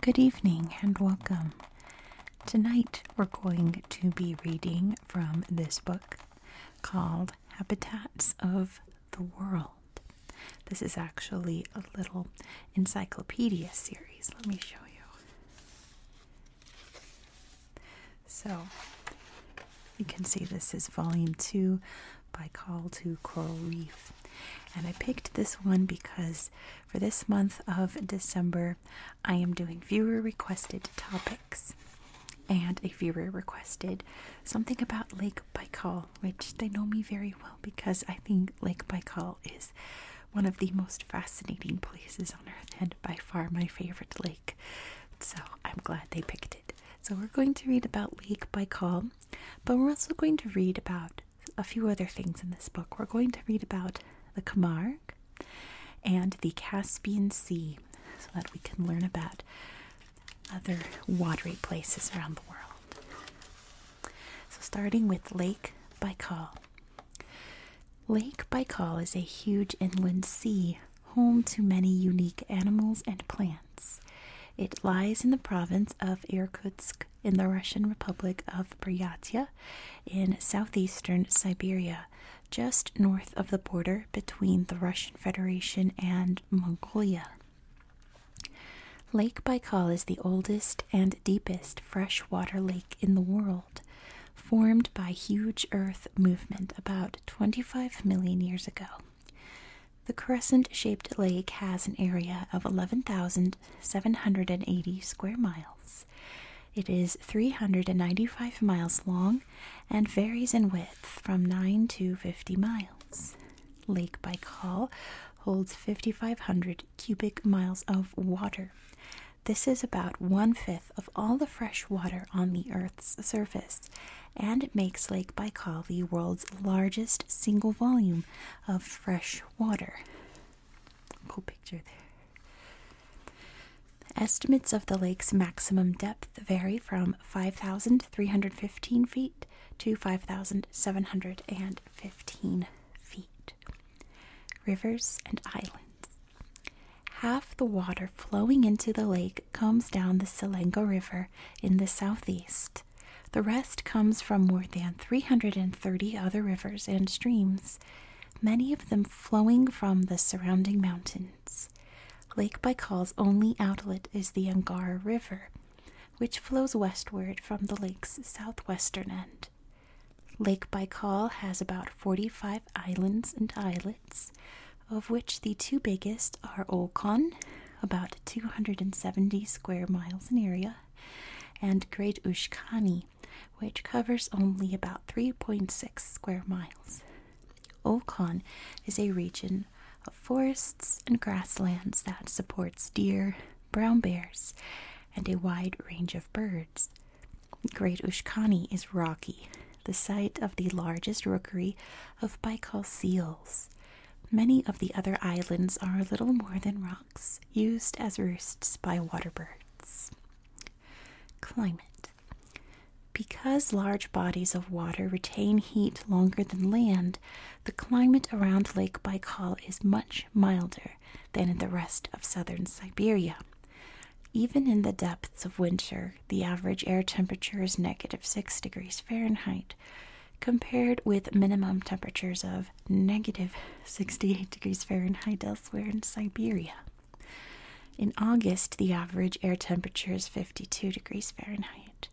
Good evening and welcome. Tonight we're going to be reading from this book called Habitats of the World. This is actually a little encyclopedia series. Let me show you. So you can see this is volume two by Call to Coral Reef. And I picked this one because for this month of December, I am doing viewer requested topics. And a viewer requested something about Lake Baikal, which they know me very well because I think Lake Baikal is one of the most fascinating places on earth and by far my favorite lake. So I'm glad they picked it. So we're going to read about Lake by Baikal, but we're also going to read about a few other things in this book. We're going to read about the Camargue and the Caspian Sea so that we can learn about other watery places around the world. So starting with Lake by Baikal. Lake Baikal is a huge inland sea, home to many unique animals and plants. It lies in the province of Irkutsk in the Russian Republic of Buryatia in southeastern Siberia, just north of the border between the Russian Federation and Mongolia. Lake Baikal is the oldest and deepest freshwater lake in the world formed by huge Earth movement about 25 million years ago. The crescent shaped lake has an area of 11,780 square miles. It is 395 miles long and varies in width from 9 to 50 miles. Lake Baikal holds 5,500 cubic miles of water this is about one fifth of all the fresh water on the Earth's surface, and it makes Lake Baikal the world's largest single volume of fresh water. Cool picture there. Estimates of the lake's maximum depth vary from 5,315 feet to 5,715 feet. Rivers and islands. Half the water flowing into the lake comes down the Selenga River in the southeast. The rest comes from more than 330 other rivers and streams, many of them flowing from the surrounding mountains. Lake Baikal's only outlet is the Angara River, which flows westward from the lake's southwestern end. Lake Baikal has about 45 islands and islets, of which the two biggest are Okon, about 270 square miles in area, and Great Ushkani, which covers only about 3.6 square miles. Okon is a region of forests and grasslands that supports deer, brown bears, and a wide range of birds. Great Ushkani is rocky, the site of the largest rookery of Baikal seals. Many of the other islands are little more than rocks, used as roosts by water birds. Climate Because large bodies of water retain heat longer than land, the climate around Lake Baikal is much milder than in the rest of southern Siberia. Even in the depths of winter, the average air temperature is negative 6 degrees Fahrenheit, compared with minimum temperatures of negative 68 degrees Fahrenheit elsewhere in Siberia. In August, the average air temperature is 52 degrees Fahrenheit.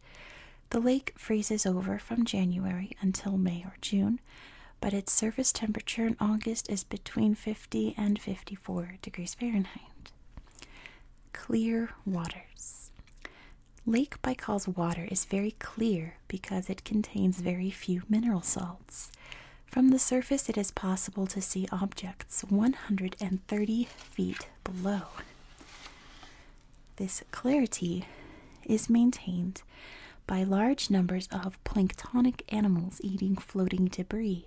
The lake freezes over from January until May or June, but its surface temperature in August is between 50 and 54 degrees Fahrenheit. Clear waters. Lake Baikal's water is very clear because it contains very few mineral salts. From the surface, it is possible to see objects 130 feet below. This clarity is maintained by large numbers of planktonic animals eating floating debris.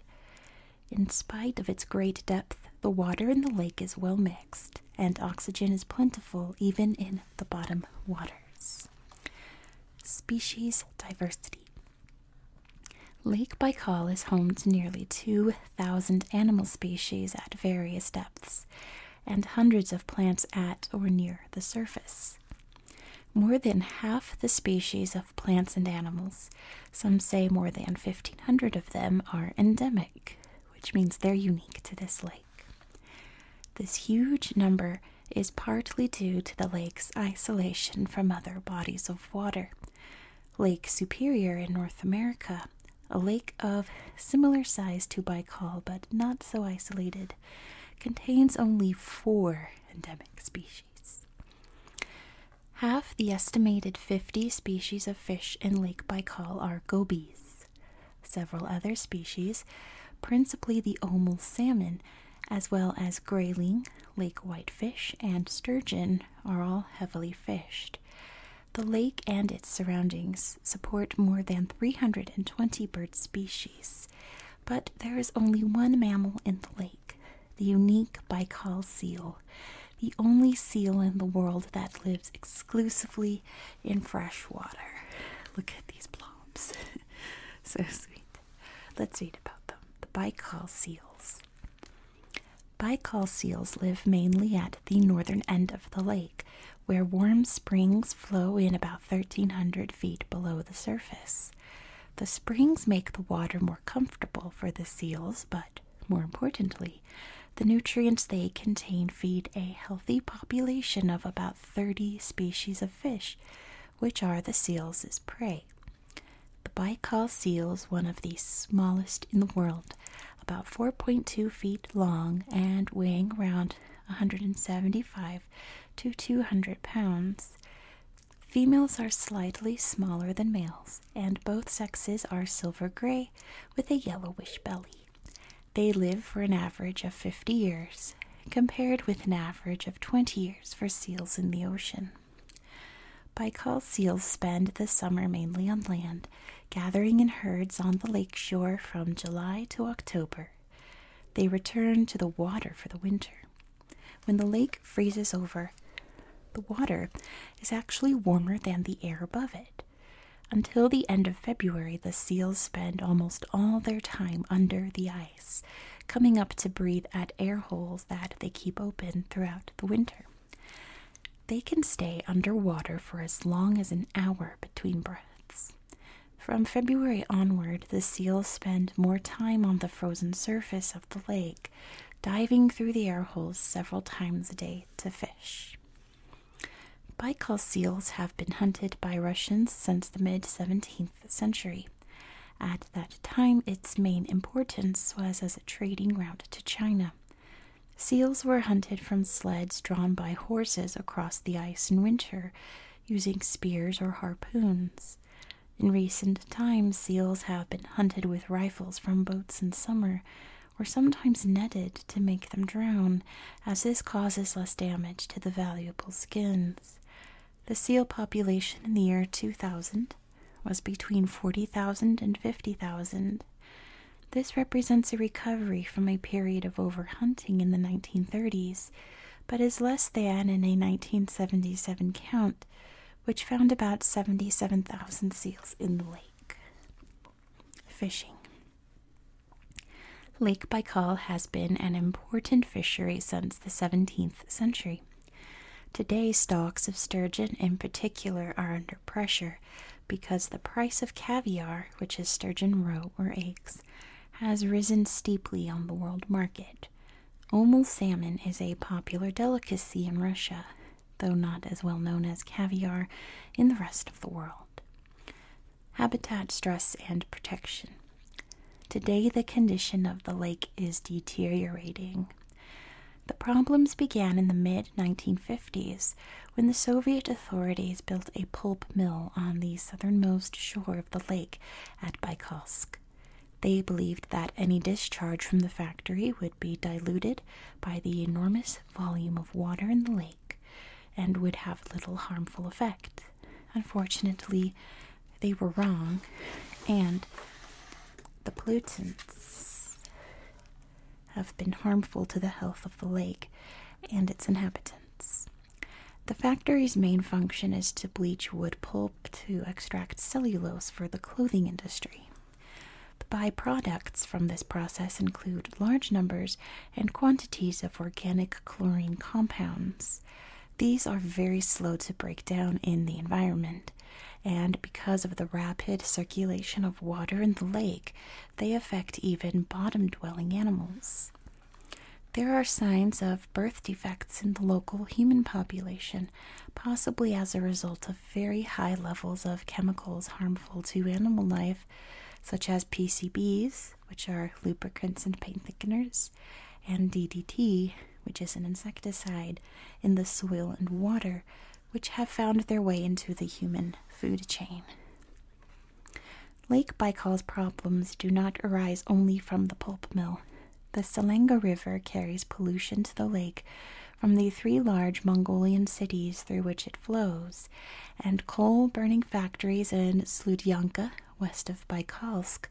In spite of its great depth, the water in the lake is well mixed, and oxygen is plentiful even in the bottom waters. Species diversity Lake Baikal is home to nearly 2,000 animal species at various depths, and hundreds of plants at or near the surface. More than half the species of plants and animals, some say more than 1,500 of them, are endemic, which means they're unique to this lake. This huge number is partly due to the lake's isolation from other bodies of water. Lake Superior in North America, a lake of similar size to Baikal but not so isolated, contains only four endemic species. Half the estimated 50 species of fish in Lake Baikal are gobies. Several other species, principally the omal salmon, as well as grayling, lake whitefish, and sturgeon, are all heavily fished. The lake and its surroundings support more than 320 bird species, but there is only one mammal in the lake, the unique Baikal seal, the only seal in the world that lives exclusively in fresh water. Look at these blobs. so sweet. Let's read about them. The Baikal seals. Baikal seals live mainly at the northern end of the lake, where warm springs flow in about 1300 feet below the surface. The springs make the water more comfortable for the seals, but more importantly, the nutrients they contain feed a healthy population of about 30 species of fish, which are the seals' prey. The Baikal seals, is one of the smallest in the world, about 4.2 feet long and weighing around 175 to 200 pounds. Females are slightly smaller than males, and both sexes are silver gray with a yellowish belly. They live for an average of 50 years, compared with an average of 20 years for seals in the ocean. Baikal seals spend the summer mainly on land, gathering in herds on the lake shore from July to October. They return to the water for the winter. When the lake freezes over, the water is actually warmer than the air above it. Until the end of February, the seals spend almost all their time under the ice, coming up to breathe at air holes that they keep open throughout the winter. They can stay underwater for as long as an hour between breaths. From February onward, the seals spend more time on the frozen surface of the lake diving through the air holes several times a day to fish. Baikal seals have been hunted by Russians since the mid 17th century. At that time, its main importance was as a trading route to China. Seals were hunted from sleds drawn by horses across the ice in winter using spears or harpoons. In recent times, seals have been hunted with rifles from boats in summer, or sometimes netted to make them drown, as this causes less damage to the valuable skins. The seal population in the year 2000 was between 40,000 and 50,000. This represents a recovery from a period of overhunting in the 1930s, but is less than in a 1977 count, which found about 77,000 seals in the lake. Fishing Lake Baikal has been an important fishery since the 17th century. Today, stocks of sturgeon in particular are under pressure because the price of caviar, which is sturgeon roe or eggs, has risen steeply on the world market. Omel salmon is a popular delicacy in Russia, though not as well known as caviar in the rest of the world. Habitat stress and protection. Today, the condition of the lake is deteriorating. The problems began in the mid 1950s when the Soviet authorities built a pulp mill on the southernmost shore of the lake at Baikalsk. They believed that any discharge from the factory would be diluted by the enormous volume of water in the lake and would have little harmful effect. Unfortunately, they were wrong, and the pollutants have been harmful to the health of the lake and its inhabitants. The factory's main function is to bleach wood pulp to extract cellulose for the clothing industry. The byproducts from this process include large numbers and quantities of organic chlorine compounds. These are very slow to break down in the environment, and because of the rapid circulation of water in the lake, they affect even bottom dwelling animals. There are signs of birth defects in the local human population possibly as a result of very high levels of chemicals harmful to animal life, such as PCBs, which are lubricants and paint thickeners, and DDT, which is an insecticide, in the soil and water, which have found their way into the human food chain. Lake Baikal's problems do not arise only from the pulp mill, the Selenga River carries pollution to the lake from the three large Mongolian cities through which it flows, and coal burning factories in Sludyanka, west of Baikalsk,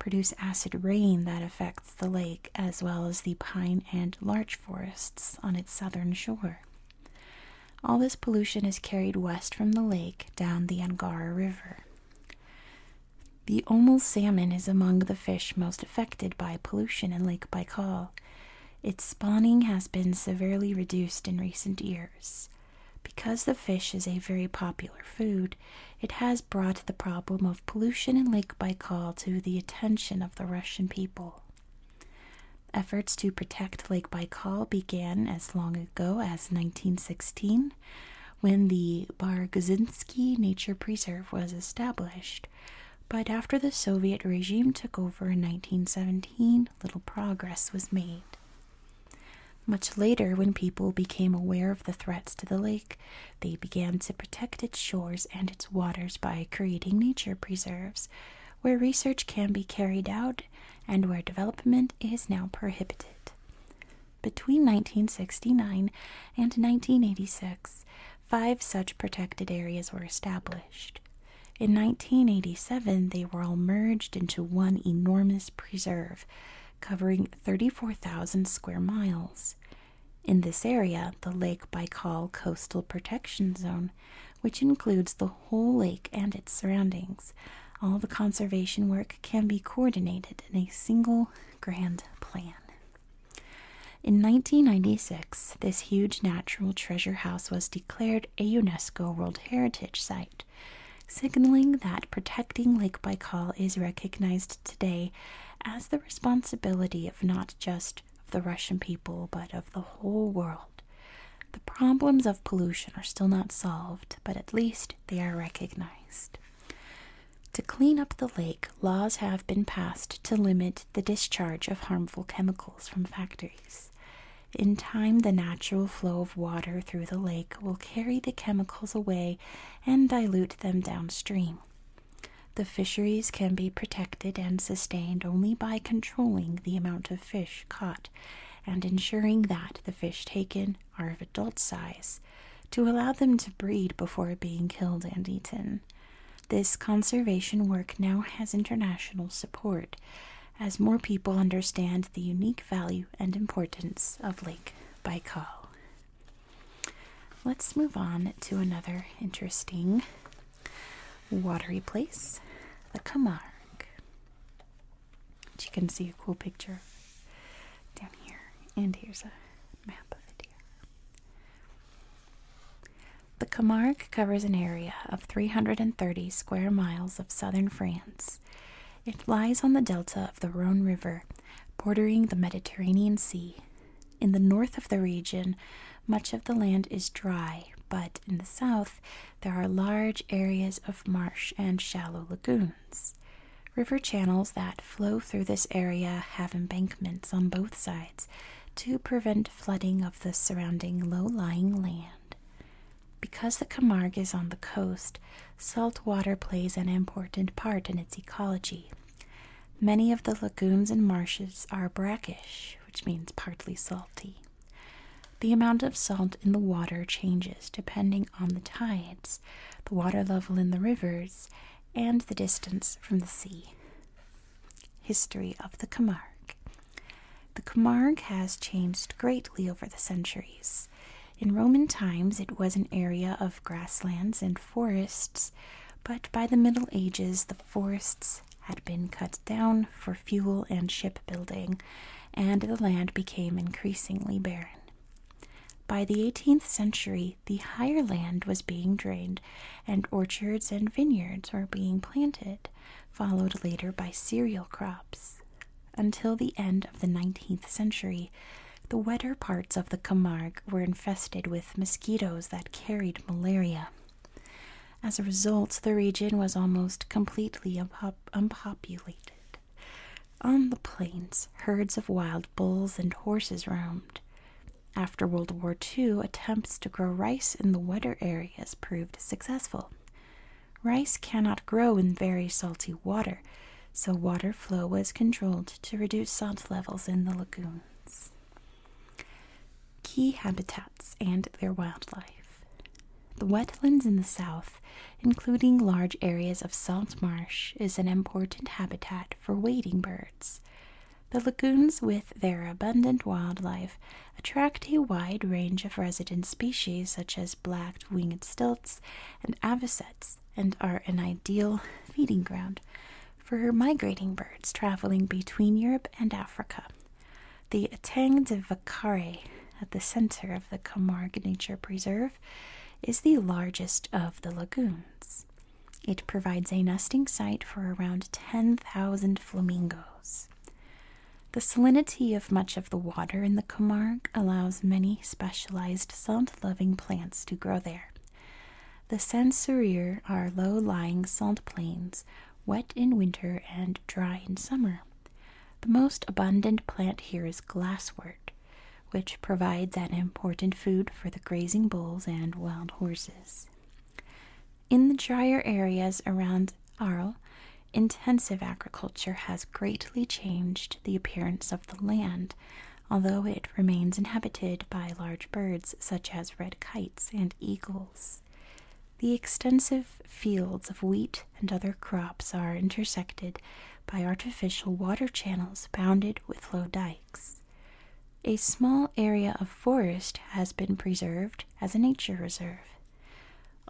produce acid rain that affects the lake as well as the pine and larch forests on its southern shore. All this pollution is carried west from the lake down the Angara River. The Omal salmon is among the fish most affected by pollution in Lake Baikal. Its spawning has been severely reduced in recent years. Because the fish is a very popular food, it has brought the problem of pollution in Lake Baikal to the attention of the Russian people. Efforts to protect Lake Baikal began as long ago as 1916 when the Bargozinski Nature Preserve was established. But after the Soviet regime took over in 1917, little progress was made. Much later, when people became aware of the threats to the lake, they began to protect its shores and its waters by creating nature preserves, where research can be carried out and where development is now prohibited. Between 1969 and 1986, five such protected areas were established. In 1987, they were all merged into one enormous preserve, covering 34,000 square miles. In this area, the Lake Baikal Coastal Protection Zone, which includes the whole lake and its surroundings, all the conservation work can be coordinated in a single grand plan. In 1996, this huge natural treasure house was declared a UNESCO World Heritage Site, signaling that protecting Lake Baikal is recognized today as the responsibility of not just of the Russian people, but of the whole world. The problems of pollution are still not solved, but at least they are recognized. To clean up the lake, laws have been passed to limit the discharge of harmful chemicals from factories. In time, the natural flow of water through the lake will carry the chemicals away and dilute them downstream. The fisheries can be protected and sustained only by controlling the amount of fish caught and ensuring that the fish taken are of adult size to allow them to breed before being killed and eaten. This conservation work now has international support as more people understand the unique value and importance of Lake Baikal. Let's move on to another interesting watery place, the Camargue. But you can see a cool picture down here, and here's a the Camargue covers an area of 330 square miles of southern France. It lies on the delta of the Rhone River, bordering the Mediterranean Sea. In the north of the region, much of the land is dry, but in the south, there are large areas of marsh and shallow lagoons. River channels that flow through this area have embankments on both sides to prevent flooding of the surrounding low lying land. Because the Camargue is on the coast, salt water plays an important part in its ecology. Many of the lagoons and marshes are brackish, which means partly salty. The amount of salt in the water changes depending on the tides, the water level in the rivers, and the distance from the sea. History of the Camargue. The Camargue has changed greatly over the centuries. In Roman times, it was an area of grasslands and forests, but by the Middle Ages, the forests had been cut down for fuel and shipbuilding, and the land became increasingly barren. By the 18th century, the higher land was being drained and orchards and vineyards were being planted, followed later by cereal crops. Until the end of the 19th century, the wetter parts of the Camargue were infested with mosquitoes that carried malaria. As a result, the region was almost completely unpopulated. On the plains, herds of wild bulls and horses roamed. After World War II, attempts to grow rice in the wetter areas proved successful. Rice cannot grow in very salty water, so water flow was controlled to reduce salt levels in the lagoons. Key habitats and their wildlife. The wetlands in the south, including large areas of salt marsh, is an important habitat for wading birds. The lagoons, with their abundant wildlife, attract a wide range of resident species such as black winged stilts and avocets, and are an ideal feeding ground for migrating birds traveling between Europe and Africa. The Etang de Vacare, at the center of the Camargue Nature Preserve, is the largest of the lagoons. It provides a nesting site for around 10,000 flamingos. The salinity of much of the water in the Camargue allows many specialized salt loving plants to grow there. The Sancerrier are low lying salt plains, wet in winter and dry in summer. The most abundant plant here is glasswort, which provides an important food for the grazing bulls and wild horses. In the drier areas around Arles, intensive agriculture has greatly changed the appearance of the land, although it remains inhabited by large birds such as red kites and eagles. The extensive fields of wheat and other crops are intersected by artificial water channels bounded with low dikes. A small area of forest has been preserved as a nature reserve.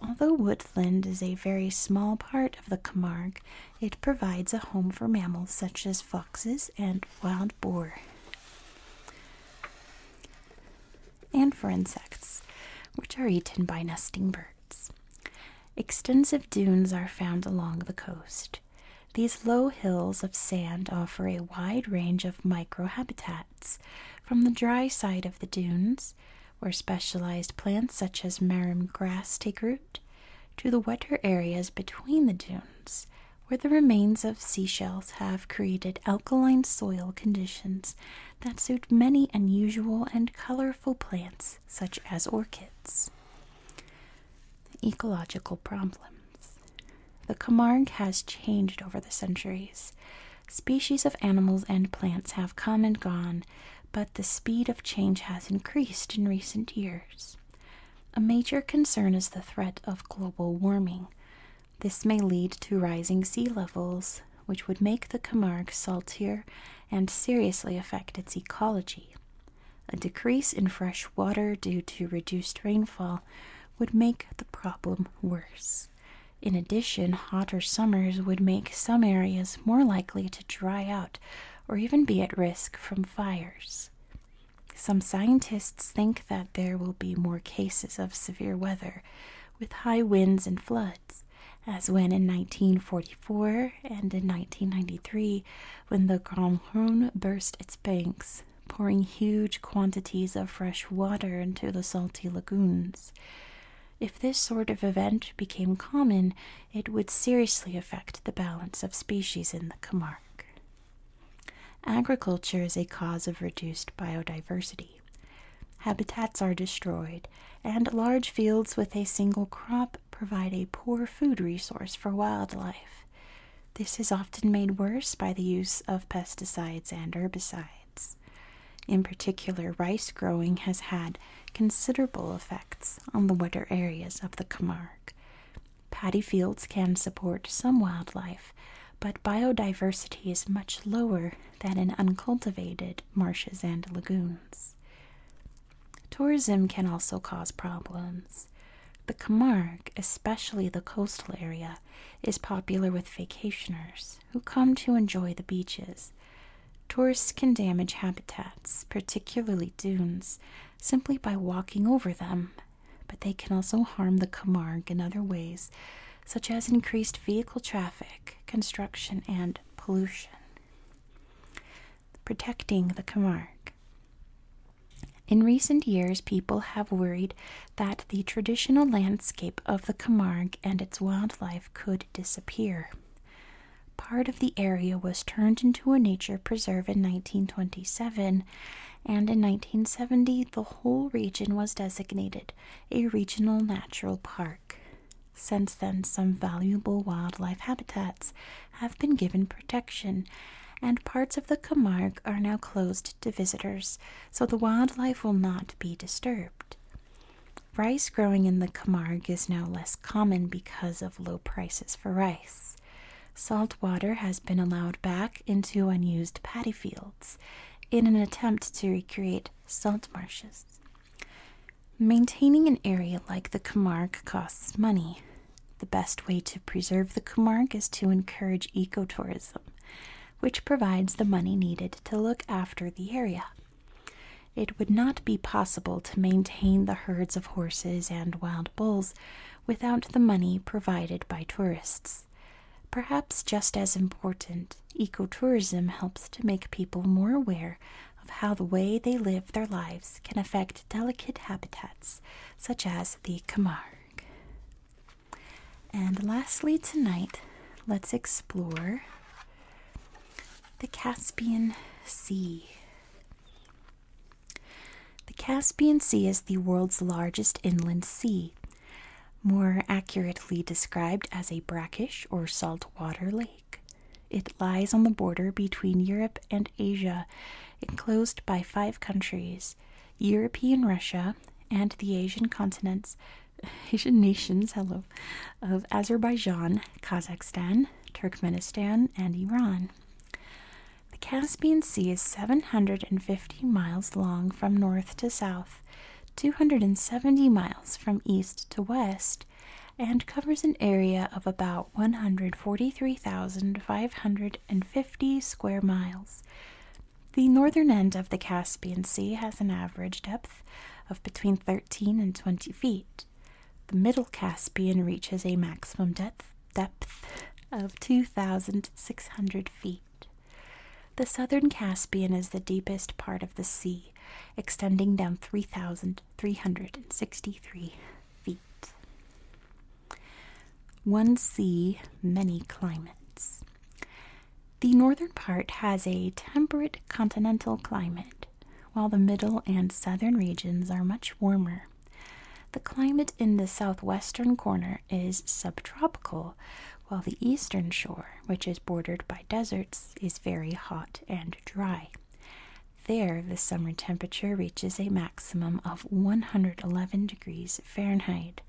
Although woodland is a very small part of the Camargue, it provides a home for mammals such as foxes and wild boar. And for insects, which are eaten by nesting birds. Extensive dunes are found along the coast these low hills of sand offer a wide range of microhabitats, from the dry side of the dunes, where specialized plants such as marum grass take root, to the wetter areas between the dunes, where the remains of sea shells have created alkaline soil conditions that suit many unusual and colorful plants such as orchids. Ecological problems. The Camargue has changed over the centuries. Species of animals and plants have come and gone, but the speed of change has increased in recent years. A major concern is the threat of global warming. This may lead to rising sea levels, which would make the Camargue saltier and seriously affect its ecology. A decrease in fresh water due to reduced rainfall would make the problem worse. In addition, hotter summers would make some areas more likely to dry out or even be at risk from fires. Some scientists think that there will be more cases of severe weather with high winds and floods, as when in 1944 and in 1993 when the Grand Rhone burst its banks, pouring huge quantities of fresh water into the salty lagoons. If this sort of event became common, it would seriously affect the balance of species in the Camargue. Agriculture is a cause of reduced biodiversity. Habitats are destroyed, and large fields with a single crop provide a poor food resource for wildlife. This is often made worse by the use of pesticides and herbicides. In particular, rice growing has had considerable effects on the wetter areas of the Camargue. Paddy fields can support some wildlife, but biodiversity is much lower than in uncultivated marshes and lagoons. Tourism can also cause problems. The Camargue, especially the coastal area, is popular with vacationers who come to enjoy the beaches. Tourists can damage habitats, particularly dunes, simply by walking over them, but they can also harm the Camargue in other ways, such as increased vehicle traffic, construction, and pollution protecting the Camargue. In recent years, people have worried that the traditional landscape of the Camargue and its wildlife could disappear. Part of the area was turned into a nature preserve in 1927, and in 1970, the whole region was designated a regional natural park. Since then, some valuable wildlife habitats have been given protection, and parts of the Camargue are now closed to visitors, so the wildlife will not be disturbed. Rice growing in the Camargue is now less common because of low prices for rice. Salt water has been allowed back into unused paddy fields in an attempt to recreate salt marshes. Maintaining an area like the Camargue costs money, the best way to preserve the Kumark is to encourage ecotourism, which provides the money needed to look after the area. It would not be possible to maintain the herds of horses and wild bulls without the money provided by tourists. Perhaps just as important, ecotourism helps to make people more aware of how the way they live their lives can affect delicate habitats such as the Camargue. And lastly, tonight, let's explore the Caspian Sea. The Caspian Sea is the world's largest inland sea, more accurately described as a brackish or saltwater lake. It lies on the border between Europe and Asia, enclosed by five countries European Russia and the Asian continents, Asian nations, hello, of Azerbaijan, Kazakhstan, Turkmenistan, and Iran. The Caspian Sea is 750 miles long from north to south, 270 miles from east to west, and covers an area of about 143,550 square miles. The northern end of the Caspian Sea has an average depth of between 13 and 20 feet. The middle Caspian reaches a maximum depth, depth of 2,600 feet. The southern Caspian is the deepest part of the sea, extending down 3,363 feet. One sea, many climates. The northern part has a temperate continental climate, while the middle and southern regions are much warmer. The climate in the southwestern corner is subtropical, while the eastern shore, which is bordered by deserts, is very hot and dry. There, the summer temperature reaches a maximum of 111 degrees Fahrenheit.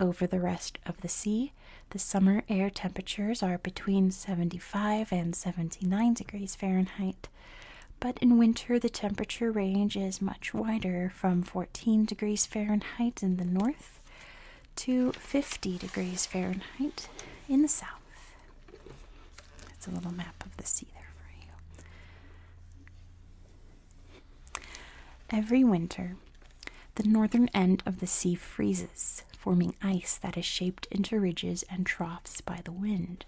Over the rest of the sea, the summer air temperatures are between 75 and 79 degrees Fahrenheit, but in winter the temperature range is much wider from 14 degrees Fahrenheit in the north to 50 degrees Fahrenheit in the south. It's a little map of the sea there for you. Every winter, the northern end of the sea freezes, forming ice that is shaped into ridges and troughs by the wind.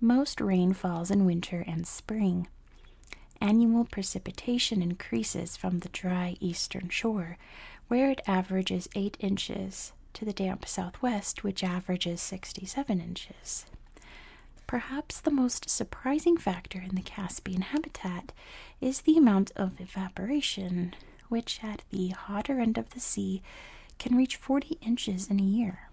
Most rain falls in winter and spring. Annual precipitation increases from the dry eastern shore, where it averages 8 inches to the damp southwest, which averages 67 inches. Perhaps the most surprising factor in the Caspian habitat is the amount of evaporation, which at the hotter end of the sea can reach 40 inches in a year.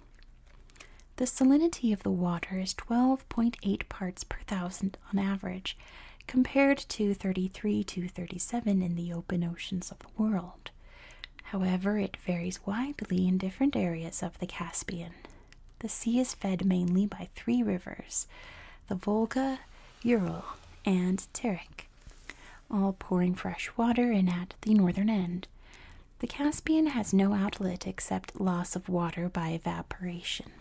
The salinity of the water is 12.8 parts per thousand on average, compared to 33 to 37 in the open oceans of the world. However, it varies widely in different areas of the Caspian. The sea is fed mainly by three rivers the Volga, Ural, and Terek, all pouring fresh water in at the northern end. The Caspian has no outlet except loss of water by evaporation.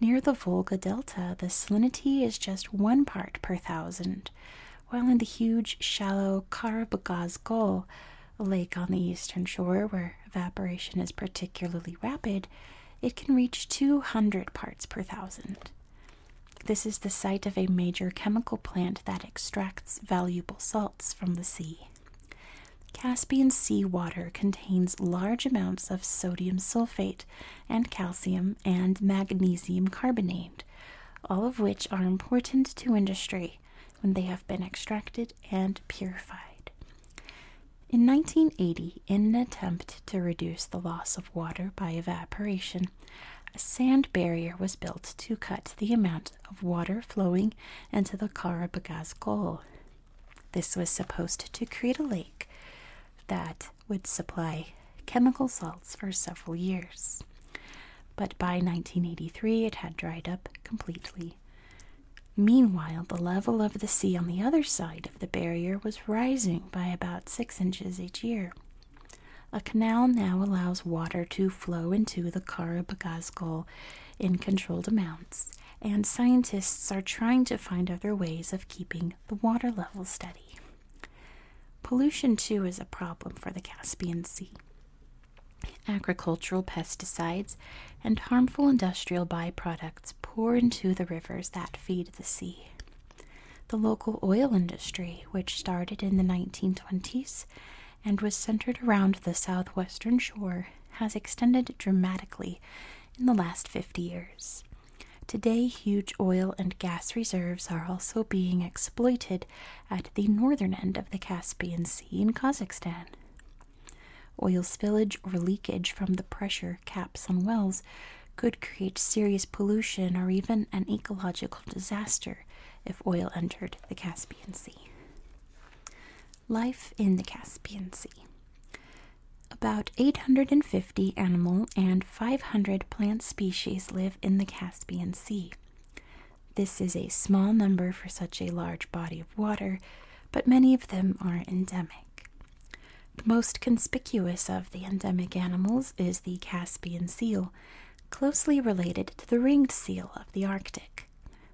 Near the Volga Delta, the salinity is just one part per thousand, while in the huge, shallow Karabagazgol, a lake on the eastern shore where evaporation is particularly rapid, it can reach 200 parts per thousand. This is the site of a major chemical plant that extracts valuable salts from the sea. Caspian sea water contains large amounts of sodium sulfate and calcium and magnesium carbonate, all of which are important to industry when they have been extracted and purified. In 1980, in an attempt to reduce the loss of water by evaporation, a sand barrier was built to cut the amount of water flowing into the Karabagaz Gol. This was supposed to create a lake that would supply chemical salts for several years. But by 1983, it had dried up completely. Meanwhile, the level of the sea on the other side of the barrier was rising by about six inches each year. A canal now allows water to flow into the Karabagazgol in controlled amounts, and scientists are trying to find other ways of keeping the water level steady. Pollution, too, is a problem for the Caspian Sea. Agricultural pesticides and harmful industrial byproducts pour into the rivers that feed the sea. The local oil industry, which started in the 1920s and was centered around the southwestern shore, has extended dramatically in the last 50 years. Today, huge oil and gas reserves are also being exploited at the northern end of the Caspian Sea in Kazakhstan. Oil spillage or leakage from the pressure caps on wells could create serious pollution or even an ecological disaster if oil entered the Caspian Sea. Life in the Caspian Sea. About 850 animal and 500 plant species live in the Caspian Sea. This is a small number for such a large body of water, but many of them are endemic. The most conspicuous of the endemic animals is the Caspian seal, closely related to the ringed seal of the Arctic,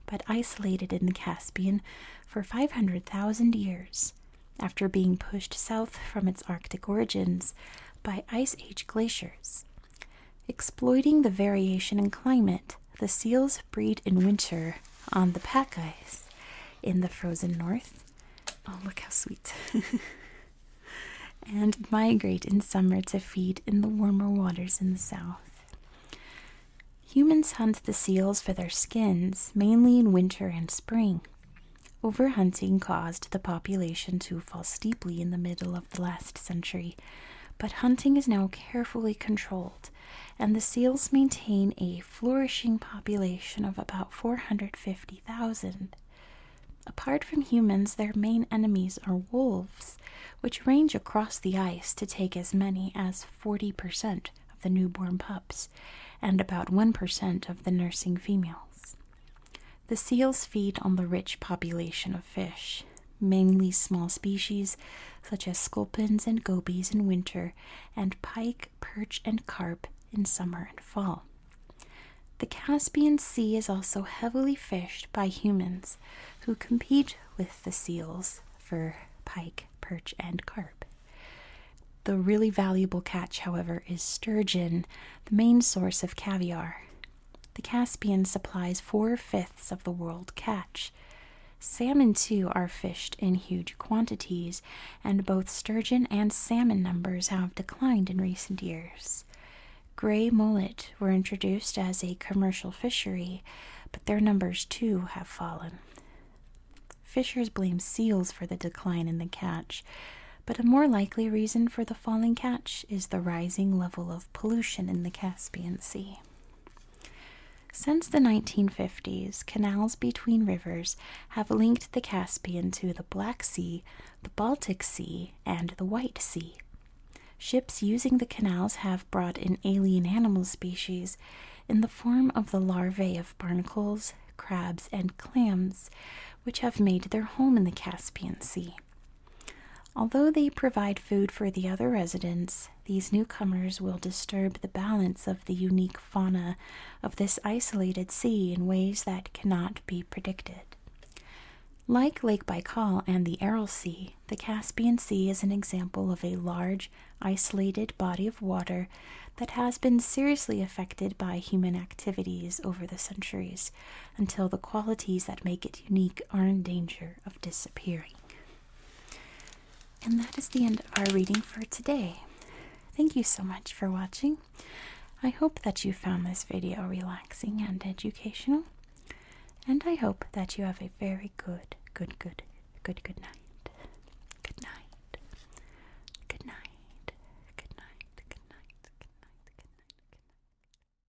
but isolated in the Caspian for 500,000 years after being pushed south from its Arctic origins by Ice Age glaciers. Exploiting the variation in climate, the seals breed in winter on the pack ice in the frozen north. Oh, look how sweet! and migrate in summer to feed in the warmer waters in the south. Humans hunt the seals for their skins mainly in winter and spring. Overhunting caused the population to fall steeply in the middle of the last century but hunting is now carefully controlled, and the seals maintain a flourishing population of about 450,000. Apart from humans, their main enemies are wolves, which range across the ice to take as many as 40% of the newborn pups and about 1% of the nursing females. The seals feed on the rich population of fish, mainly small species such as sculpins and gobies in winter, and pike, perch, and carp in summer and fall. The Caspian Sea is also heavily fished by humans who compete with the seals for pike, perch, and carp. The really valuable catch, however, is sturgeon, the main source of caviar, the Caspian supplies four fifths of the world catch. Salmon, too, are fished in huge quantities, and both sturgeon and salmon numbers have declined in recent years. Gray mullet were introduced as a commercial fishery, but their numbers, too, have fallen. Fishers blame seals for the decline in the catch, but a more likely reason for the falling catch is the rising level of pollution in the Caspian Sea. Since the 1950s, canals between rivers have linked the Caspian to the Black Sea, the Baltic Sea, and the White Sea. Ships using the canals have brought in alien animal species in the form of the larvae of barnacles, crabs, and clams, which have made their home in the Caspian Sea. Although they provide food for the other residents, these newcomers will disturb the balance of the unique fauna of this isolated sea in ways that cannot be predicted. Like Lake Baikal and the Aral Sea, the Caspian Sea is an example of a large, isolated body of water that has been seriously affected by human activities over the centuries until the qualities that make it unique are endangered of disappearing. And that is the end of our reading for today. Thank you so much for watching. I hope that you found this video relaxing and educational. And I hope that you have a very good, good, good, good, good night. Good night. Good night. Good night. Good night. Good night. Good night. Good night.